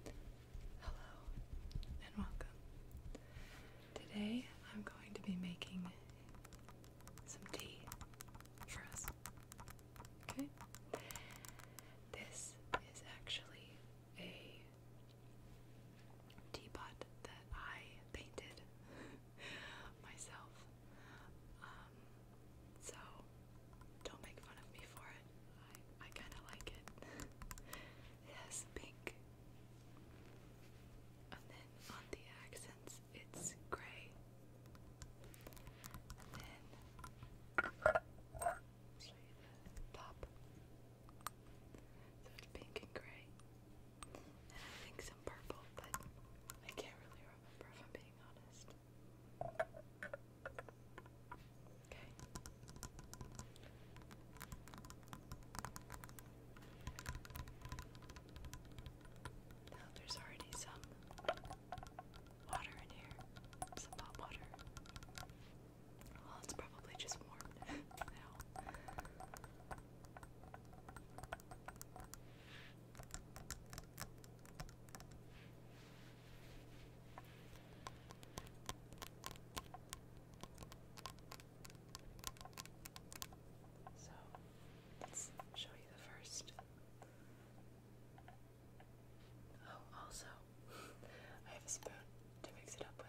Hello and welcome. Today I'm going to be making some tea for us. Okay? This is actually a teapot that I painted myself. Um, so don't make fun of me for it. I, I kind of like it. it pink. And then on the accents, it's gray. then show you the top. So it's pink and gray. And I think some purple, but I can't really remember if I'm being honest. Okay. Now there's already some water in here, some hot water. Well, it's probably just warmed now. So let's show you the first. Oh, also, I have a spoon to mix it up with.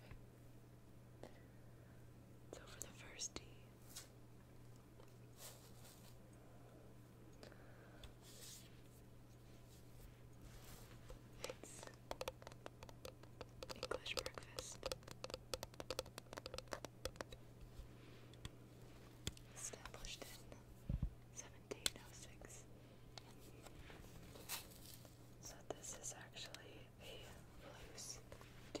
Okay. So for the first D, it's English breakfast. Established in 1706. So this is actually a loose D.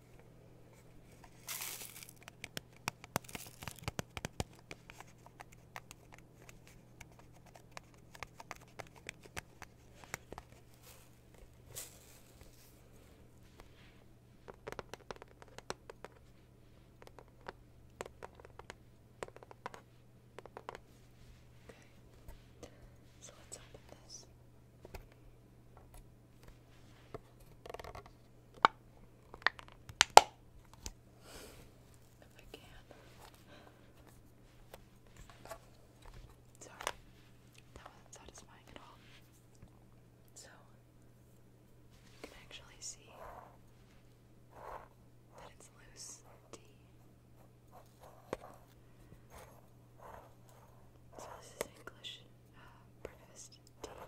Okay. So let's open this. If I can. Sorry, that wasn't satisfying at all. So, you can actually see that it's loose D. So, this is English uh, breakfast tea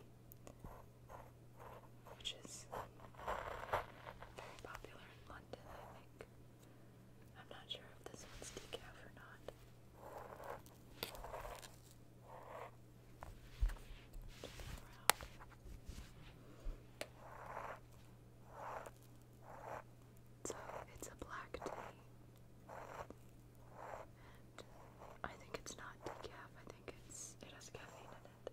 which is very popular in London, I think. I'm not sure if this one's decaf or not. So it's a black tea and I think it's not decaf. I think it's it has caffeine in it.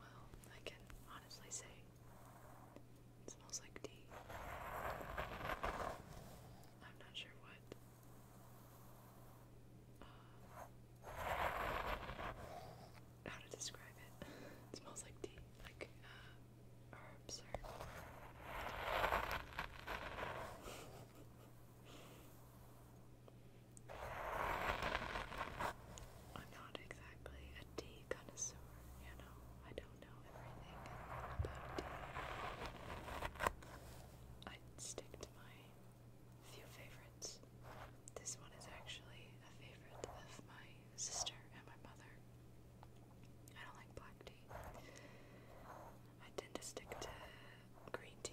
Well, I can honestly say it smells like tea. I'm not sure what uh, how to describe it. it smells like tea, like uh, herbs or I'm not exactly a tea connoisseur, you know. I don't know everything about tea. I stick to my few favorites. This one is actually a favorite of my sister and my mother. I don't like black tea. I tend to stick to green tea.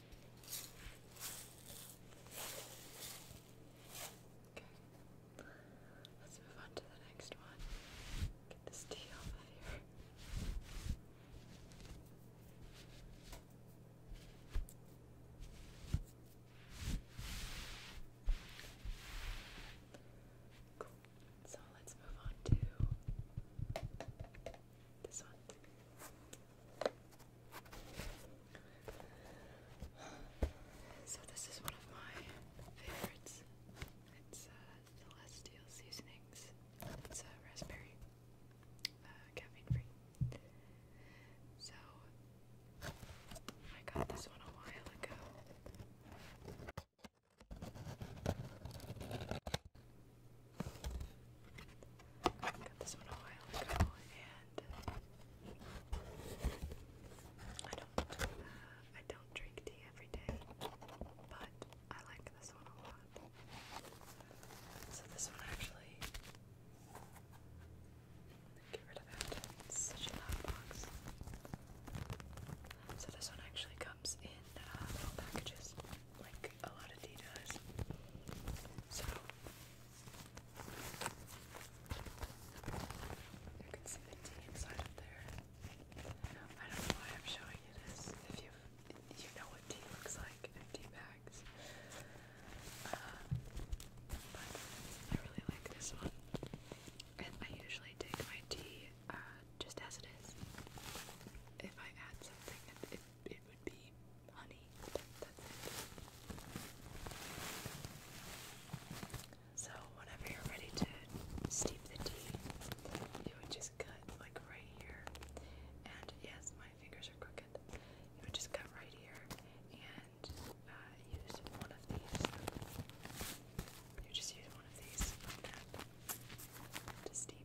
Okay. Let's move on to the next one. Get this tea off of here. So let's move on to this one. So this is one of my favorites. It's uh, Celestial Seasonings. It's a raspberry, uh, caffeine free. So I got this one a while ago. Got this one a while ago, and I don't, uh, I don't drink tea every day, but I like this one a lot. So this one actually, get rid of that. such a loud box. So this one actually comes in uh, little packages, like like a lot of tea does. So you can see the tea inside of there. I don't know why I'm showing you this. If you you know what tea looks like tea bags, uh, but I really like this one, and I usually take my tea uh, just as it is. If I add something, it would be honey. That's it. So whenever you're ready to steep the tea, you would just cut like right here. And yes, my fingers are crooked. You would just cut right here and uh, use one of these. You just use one of these to steep.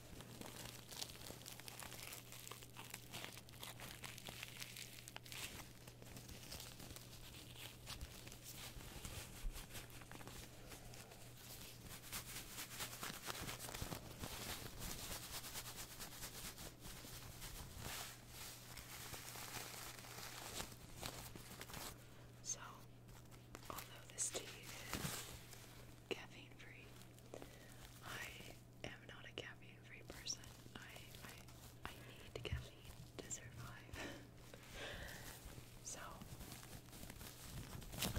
So, although this tea is caffeine free. I am not a caffeine free person. I I I need caffeine to survive. so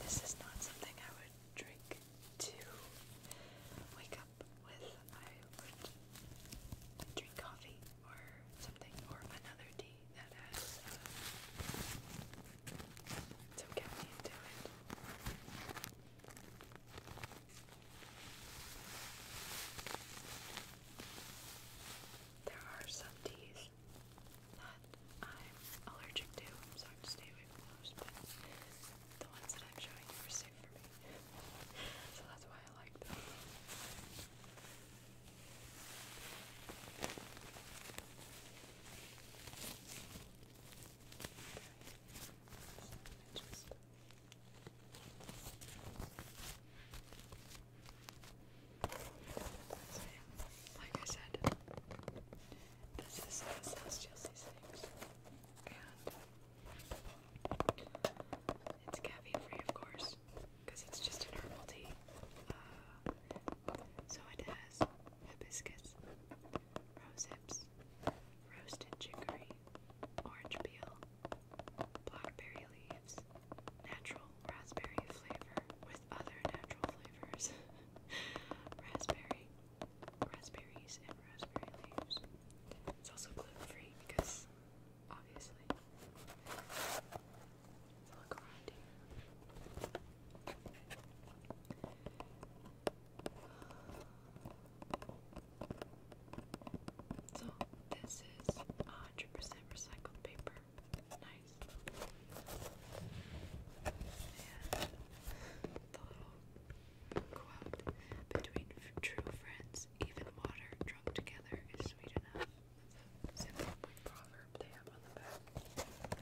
this is not something I would drink to wake up with. I would drink coffee or something or another tea that has um, some caffeine it. There are some teas that I'm allergic to, so I have stay away from those, but the ones that I'm showing you are safe for me. so that's why I like them. Like I said, this is this has just these things, it's caffeine free, of course, because it's just herbal tea. Uh, so it has hibiscus, rose hips, roasted chicory, orange peel, blackberry leaves, natural raspberry flavor with other natural flavors, raspberry, raspberries, and raspberry leaves. It's also gluten free because obviously. Let's So this is 100% recycled paper. Nice. And the little quote between true friends, even water drunk together is sweet enough. That's a proverb they have on the back.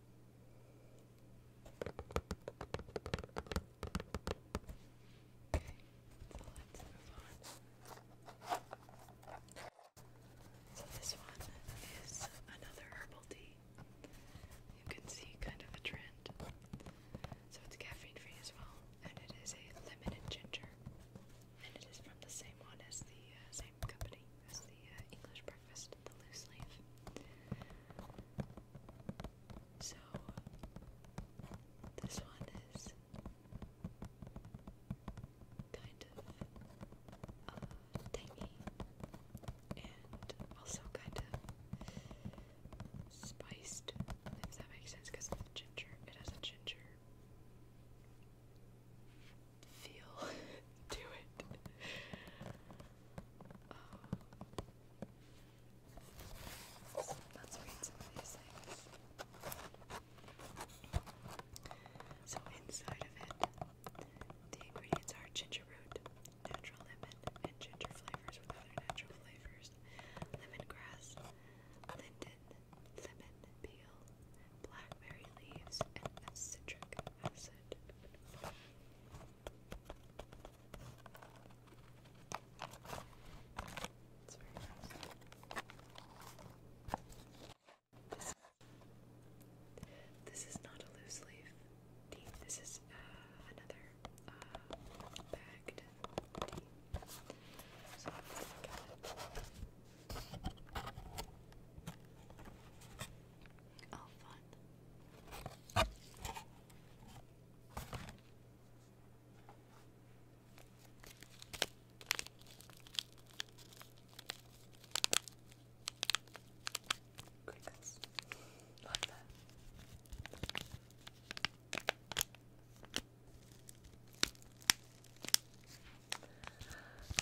so let's move on. So this one is another herbal tea. You can see kind of a trend. So it's caffeine free as well, and it is a lemon and ginger. And it is from the same one as the uh, same company as the uh, English brand the loose leaf. So, this one is kind of uh, tangy and also kind of spiced, if that makes sense, because of the ginger. It has a ginger feel to it. So inside of it, the ingredients are ginger root, natural lemon, and ginger flavors with other natural flavors, lemongrass, linden, lemon peel, blackberry leaves, and citric acid. This, is not a loose leaf This is uh, another uh, bagged Oh, that. Crickets. that.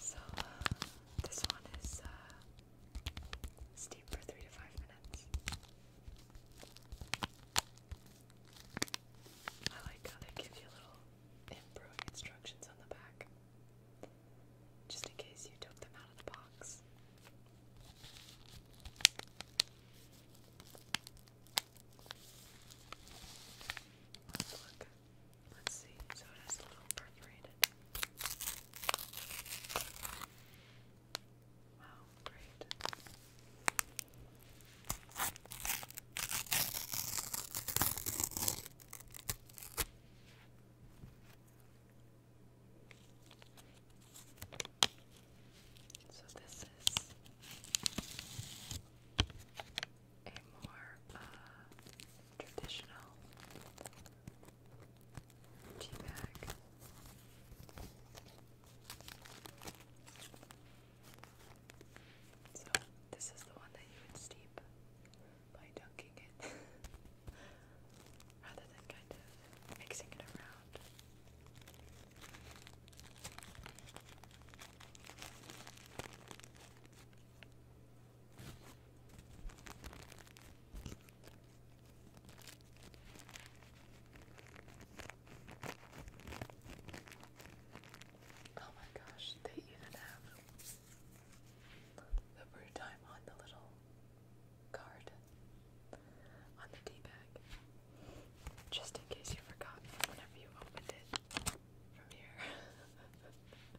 So, uh, this one is uh, Steep for three to five minutes. I like how they give you little improving instructions on the back, just in case you took them out of the box. Let's look. Let's see. So it has little perforated Wow, great. So this is a more uh, traditional tea bag. So this is the one that you would steep by dunking it rather than kind of mixing it around. Oh my gosh, they even have the brew time on the little card on the tea bag. Just in case you forgot whenever you opened it from here.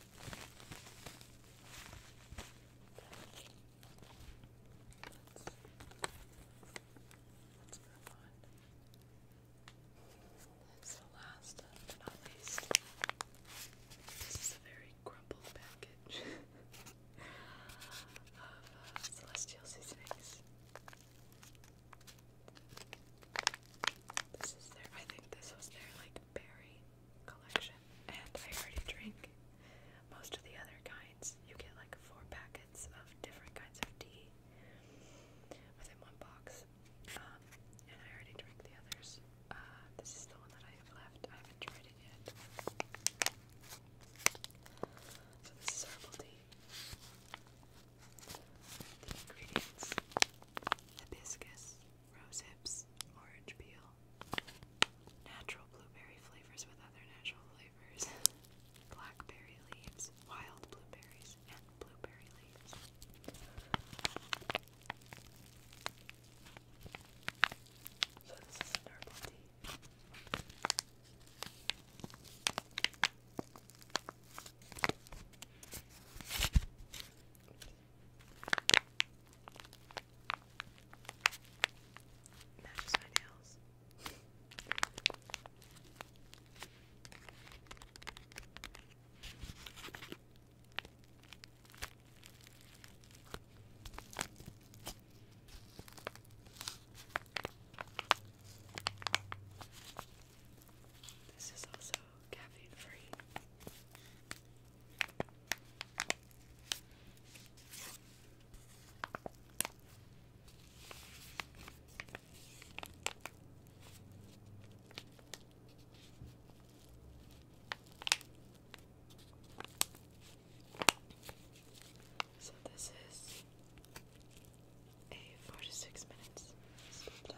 Let's It's the last but not least. This is a very crumpled package of uh, Celestial Seasonings. This is their, I think this was their like berry collection, and I already drink most of the other kinds. You get like four packets of different kinds of tea within one box, um, and I already drink the others. Uh, this is the one that I have left. I haven't tried it yet. So this is herbal tea. The ingredients: hibiscus, rose hips, orange peel, natural blueberry flavors with other natural flavors, blackberry leaves, wild blueberries, and blueberry leaves. So this is herbal tea. Matches my nails. This is also caffeine free. So this is a 46 minutes sleep time.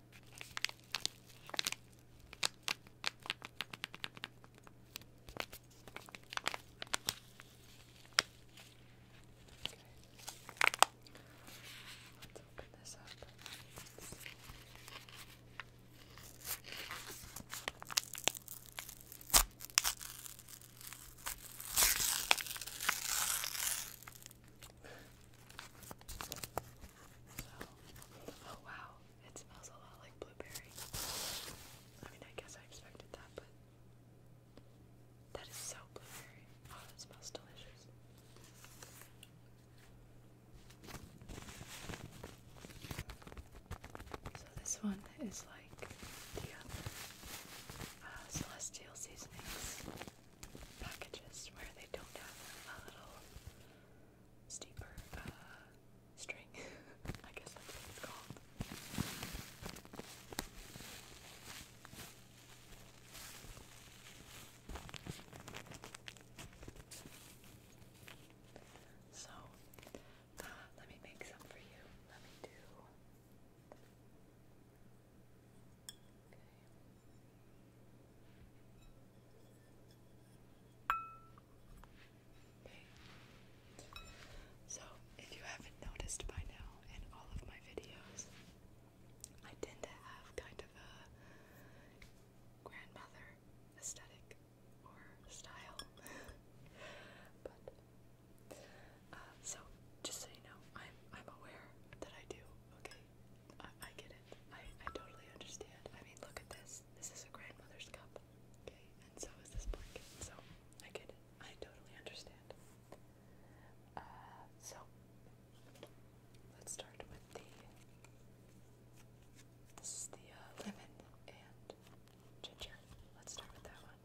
Let's open this up. So, oh wow, it smells a lot like blueberry. I mean, I guess I expected that, but that is so blueberry. Oh, that smells delicious. So this one is like the other uh, uh, Celestial Seasonings packages where they don't have a little steeper uh, string. I guess that's what it's called. So, uh, let me make some for you. Let me do. Okay. So, if you haven't noticed by now in all of my videos, I tend to have kind of a grandmother aesthetic or style. but uh, so just so you know, I'm I'm aware that I do, okay? I, get it. I, I totally understand. I mean, look at this. This is a grandmother's cup, okay? And so is this blanket. So I get it. I totally understand. Uh, so let's start with the. This is the uh, lemon and ginger. Let's start with that one.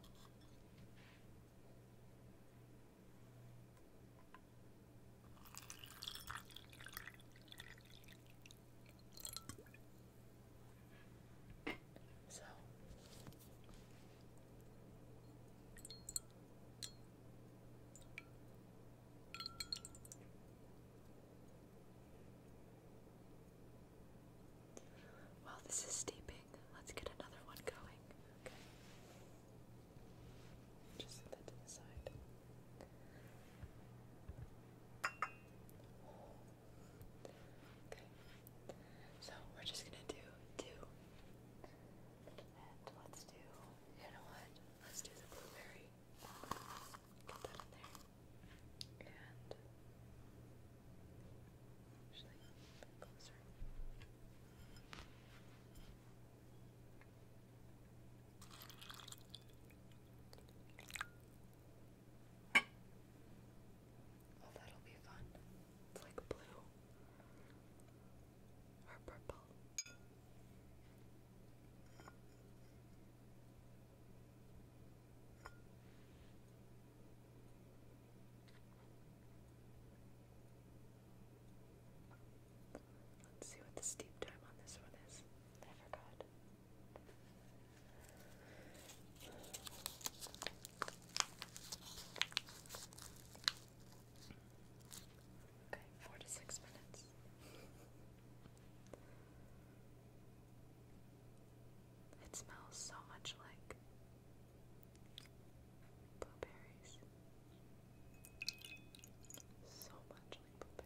So while this is steeping, let's get another one going. Just set that to the side. Okay. So we're just gonna do two. And let's do you know what? Let's do the blueberry. Get that in there. And actually closer. Oh, that'll be fun. It's like blue or purple. Let's see what the steep time on this one is. I forgot. Okay, four to six minutes. It smells so much like blueberries. So much like blueberries.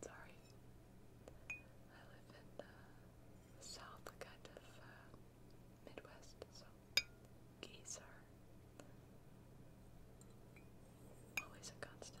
Sorry. I live in the south, kind of uh, Midwest, so geese are always a constant.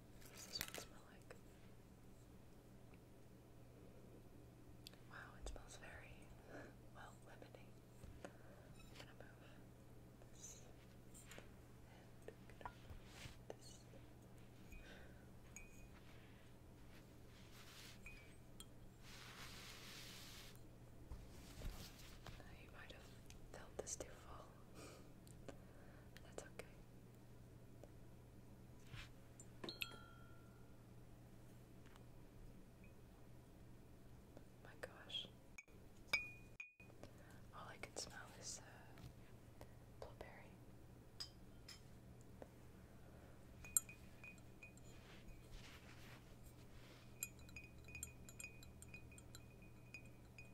What does this one smell like? Wow, it smells very well limiting. I'm gonna move this and gonna move this. I might have felt this too far. That's okay. My gosh. All I can smell is uh, blueberry.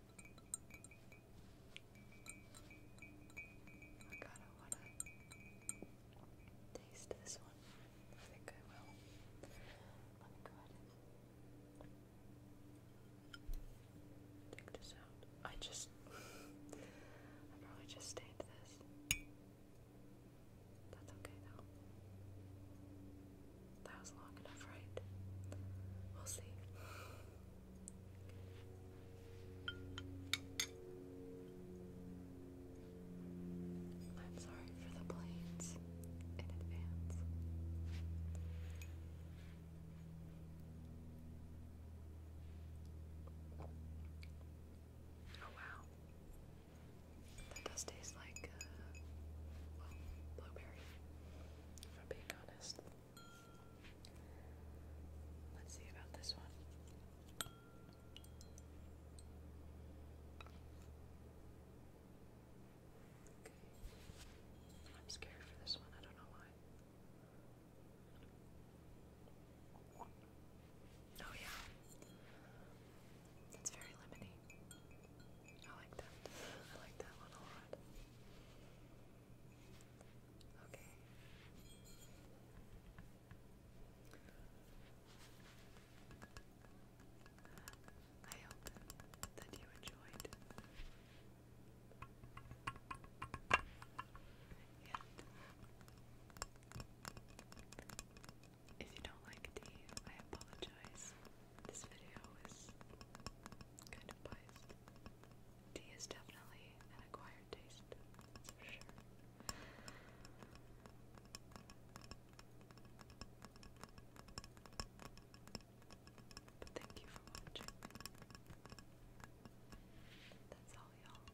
Oh my god, I wanna taste this one. I think I will. Let me go ahead take this out. I just. I probably just stained this. That's okay though. That was long enough, right? We'll see. I'm sorry for the planes in advance. Oh wow. That does taste like, uh, well, blueberry if being honest. Let's see about this one. Okay. I'm scared for this one, I don't know why. Oh yeah. That's very lemony. I like that. I like that one a lot. Okay. I hope that you enjoyed. And if you don't like tea, I apologize. This video is kind of biased. Tea is definitely an acquired taste, for sure. But thank you for watching. That's all, y'all.